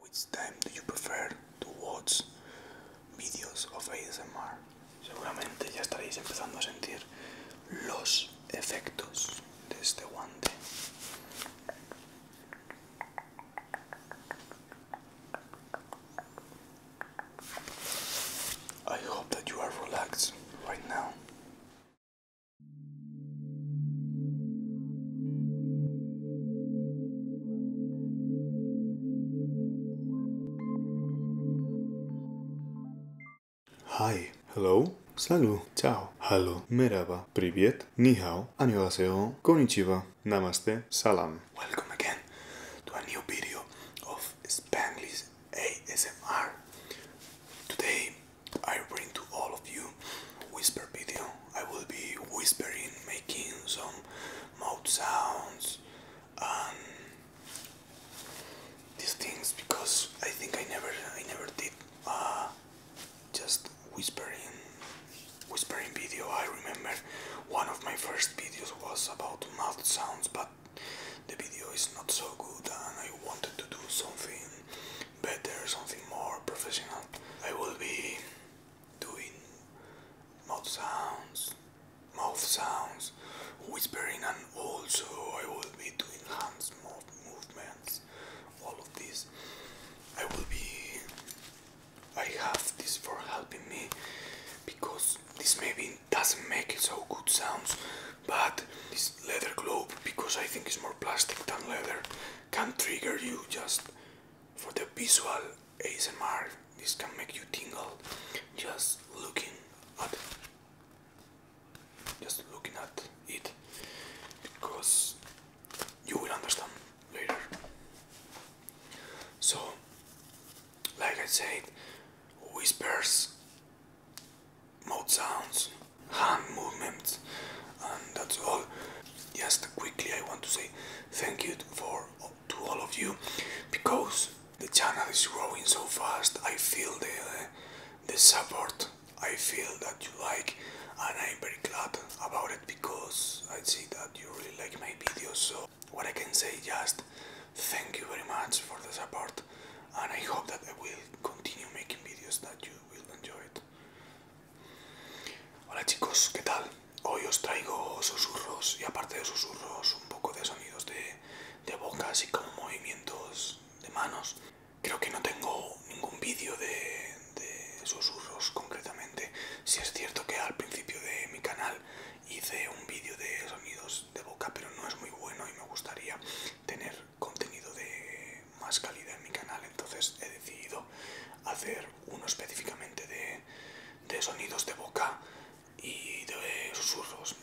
Which time do you prefer to watch videos of ASMR? Seguramente ya estaréis empezando a sentir los efectos de este guante. I hope that you are relaxed right now. Hi, hello, salut, ciao, halo, merhaba, привет, ni hao, annyeonghaseyo, konnichiwa, namaste, salam. Welcome again to a new video of Spanglish ASMR. Today I bring to all of you whisper video. I will be whispering, making some mouth sounds and these things because I think I never, I never did uh, just whispering, whispering video. I remember one of my first videos was about mouth sounds, but the video is not so good and I wanted to do something better, something more professional. I will be doing mouth sounds, mouth sounds, whispering, and also I will be doing hands movements. All of this, I will be. I have this for helping me because this maybe doesn't make so good sounds, but this leather glove because I think it's more plastic than leather can trigger you just for the visual ASMR. This can make you tingle just looking at just looking at it because you will understand later. So like I said, whispers mouth sounds, hand movements, and that's all. Just quickly, I want to say thank you for to all of you because the channel is growing so fast. I feel the the support. I feel that you like, and I'm very glad about it because I see that you really like my videos. So what I can say just thank you very much for the support, and I hope that I will continue making videos that you will enjoy it. Hola chicos, ¿qué tal? Hoy os traigo susurros y aparte de susurros un poco de sonidos de, de bocas y como movimientos de manos. Creo que no tengo ningún vídeo de, susurros concretamente. Si es cierto que al principio de mi canal hice un vídeo de sonidos de boca, pero no es muy bueno y me gustaría tener contenido de más calidad en mi canal entonces he decidido hacer uno específicamente de, de sonidos de boca y de susurros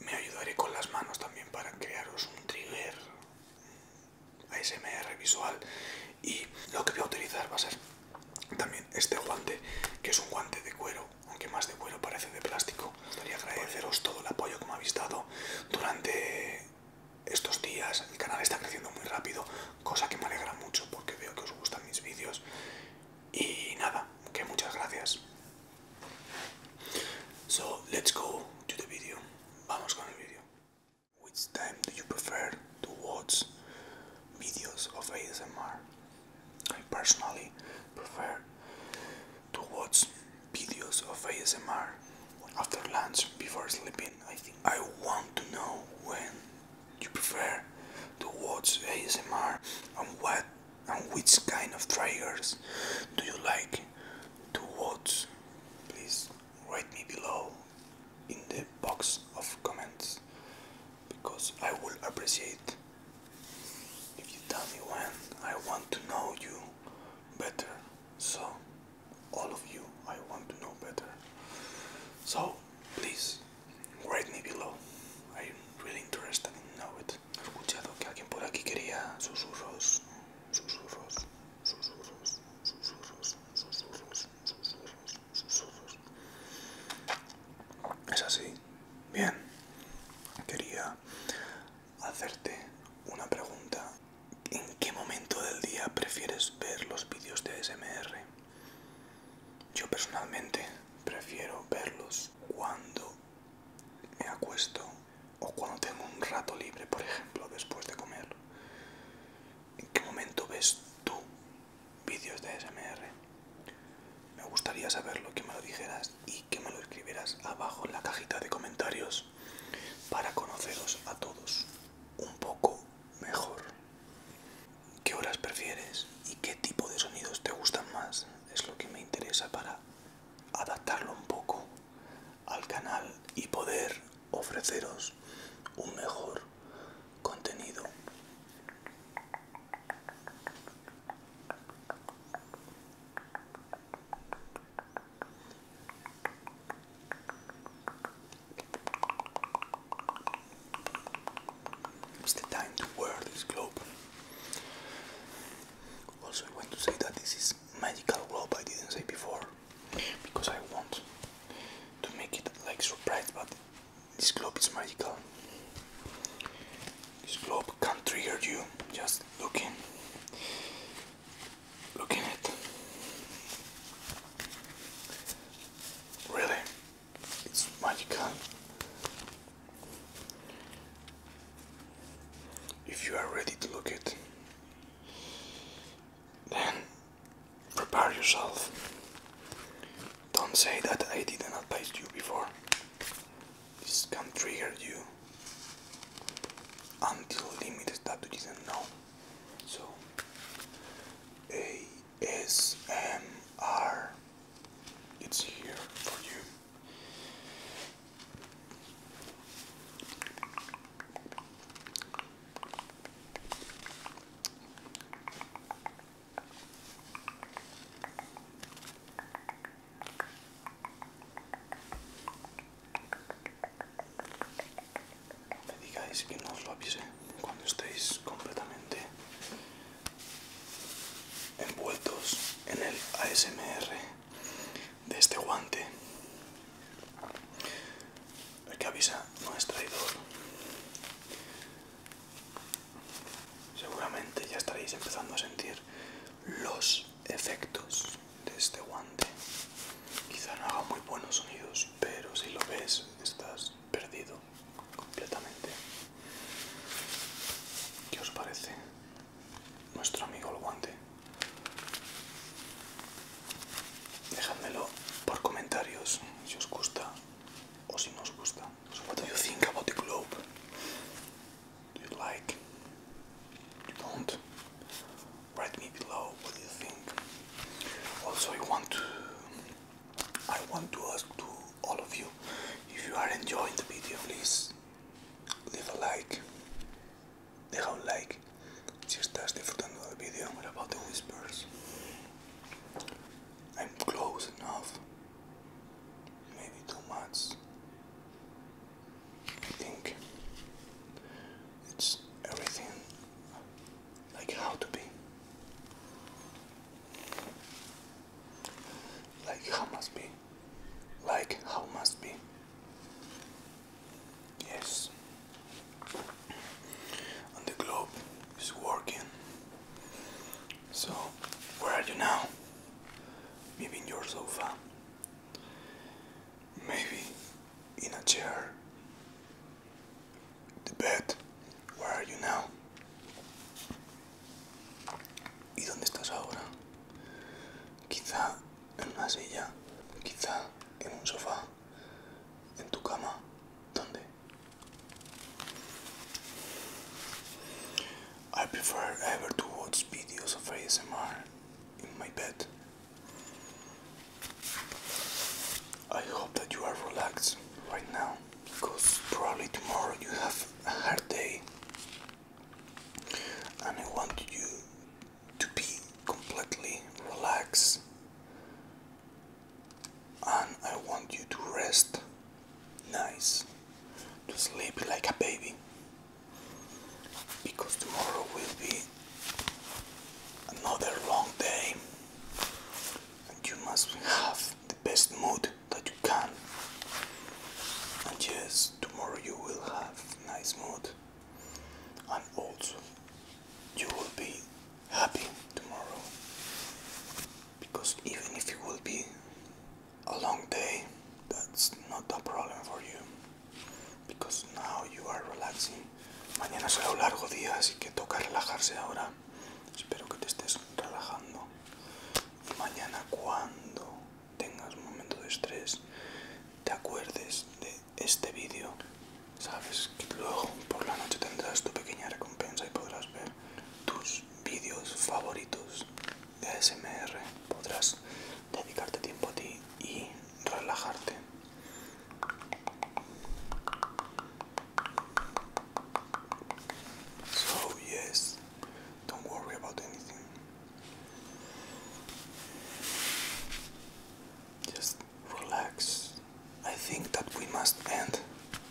me ayudaré con las manos también para crearos un trigger ASMR visual y lo que voy a utilizar va a ser también este guante que es un guante de cuero aunque más de cuero parece de plástico Quería Gustaría agradeceros todo el apoyo que me habéis dado durante estos días. El canal está creciendo muy rápido, cosa que me alegra mucho porque veo que os gustan mis vídeos. Y nada, que muchas gracias. So, let's go to video. Vamos con el vídeo. Which time do you prefer to videos of ASMR? personally prefer to watch videos of ASMR after lunch before sleeping. I think I want to know when you prefer to watch ASMR and what and which kind of triggers do you like to watch. Please write me below in the box of comments because I will appreciate if you tell me when, I want to know you better. So, all of you, I want to know better. So, please, rate me below. I'm really interested in know it. escuchado que alguien por aquí quería susurros, susurros, susurros, susurros, susurros, susurros, susurros. Es así. Bien. Quería hacerte una pregunta. ¿En qué momento del día prefieres ver los vídeos de SMR? Yo personalmente prefiero verlos cuando me acuesto o cuando tengo un rato libre, por ejemplo, después de comer. ¿En qué momento ves tú vídeos de SMR? Me gustaría saber lo que me lo dijeras y que me lo escribieras abajo en la cajita de comentarios para conoceros a todos un poco mejor. ¿Qué horas prefieres y qué tipo de sonidos te gustan más? Es lo que me interesa para adaptarlo un poco al canal y poder ofreceros un mejor contenido It's the time to wear this globe. Also, I want to say that this is magical globe. I didn't say before because I want to make it like surprise, but this globe is magical. This globe can trigger you just looking, look at it. Really, it's magical. If you are ready to look it, then prepare yourself don't say that I did not advise you before. This can trigger you until limits that you didn't know. So ASMR it's here for you. Me digáis que no os lo avise cuando estéis completamente envueltos en el ASMR de este guante. El que avisa no es traidor. Seguramente ya estaréis empezando a sentir los efectos de este guante. Quizá no haga muy buenos sonidos, pero si lo ves estás perdido completamente. ¿Qué os parece nuestro amigo el guante? Dejádmelo por comentarios si os gusta o si no os gusta. So what do you think about the globe? Do you like? You don't? Write me below what do you think. Also I want to I want to ask to all of you if you are enjoying the video please leave a like deja un like si estás disfrutando del vídeo about the whispers I'm close enough. Maybe two months. I think it's everything like how to be. Like how must be. Like how must be. Yes and the globe is working. So, where are you now? Maybe in your sofa, maybe in a chair, the bed. Where are you now? ¿Y dónde estás ahora? Quizá en una silla, quizá en un sofá, en tu cama. ¿Dónde? I prefer ever to watch videos of ASMR in my bed. I hope that you are relaxed right now because probably tomorrow you have a hard day and I want you to be completely relaxed and I want you to rest nice, to sleep like a baby, because tomorrow will be another long day, and you must have the best mood that you can. And yes, tomorrow you will have nice mood, and also you will be happy tomorrow because even if it will be a long day that's not a problem for you because now you are relaxing mañana será un largo día así que toca relajarse ahora espero que te estés relajando mañana cuando tengas un momento de estrés te acuerdes de este vídeo, sabes que luego por la noche tendrás tu pequeña recompensa y podrás ver tus vídeos favoritos de ASMR, podrás dedicarte tiempo a ti y relajarte. So yes, don't worry about anything. relax. I think that we must end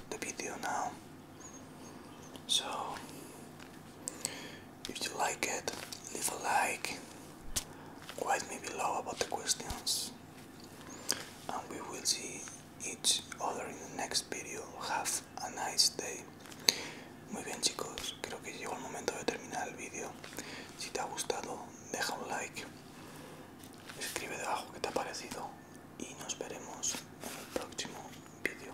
the video now. So, if you like it, leave a like, write me below about the questions, and we will see each other in the next video. Have a nice day. Muy bien chicos, creo que llegó el momento de terminar el vídeo. Si te ha gustado, deja un like Escribe debajo que te ha parecido y nos veremos en el próximo vídeo.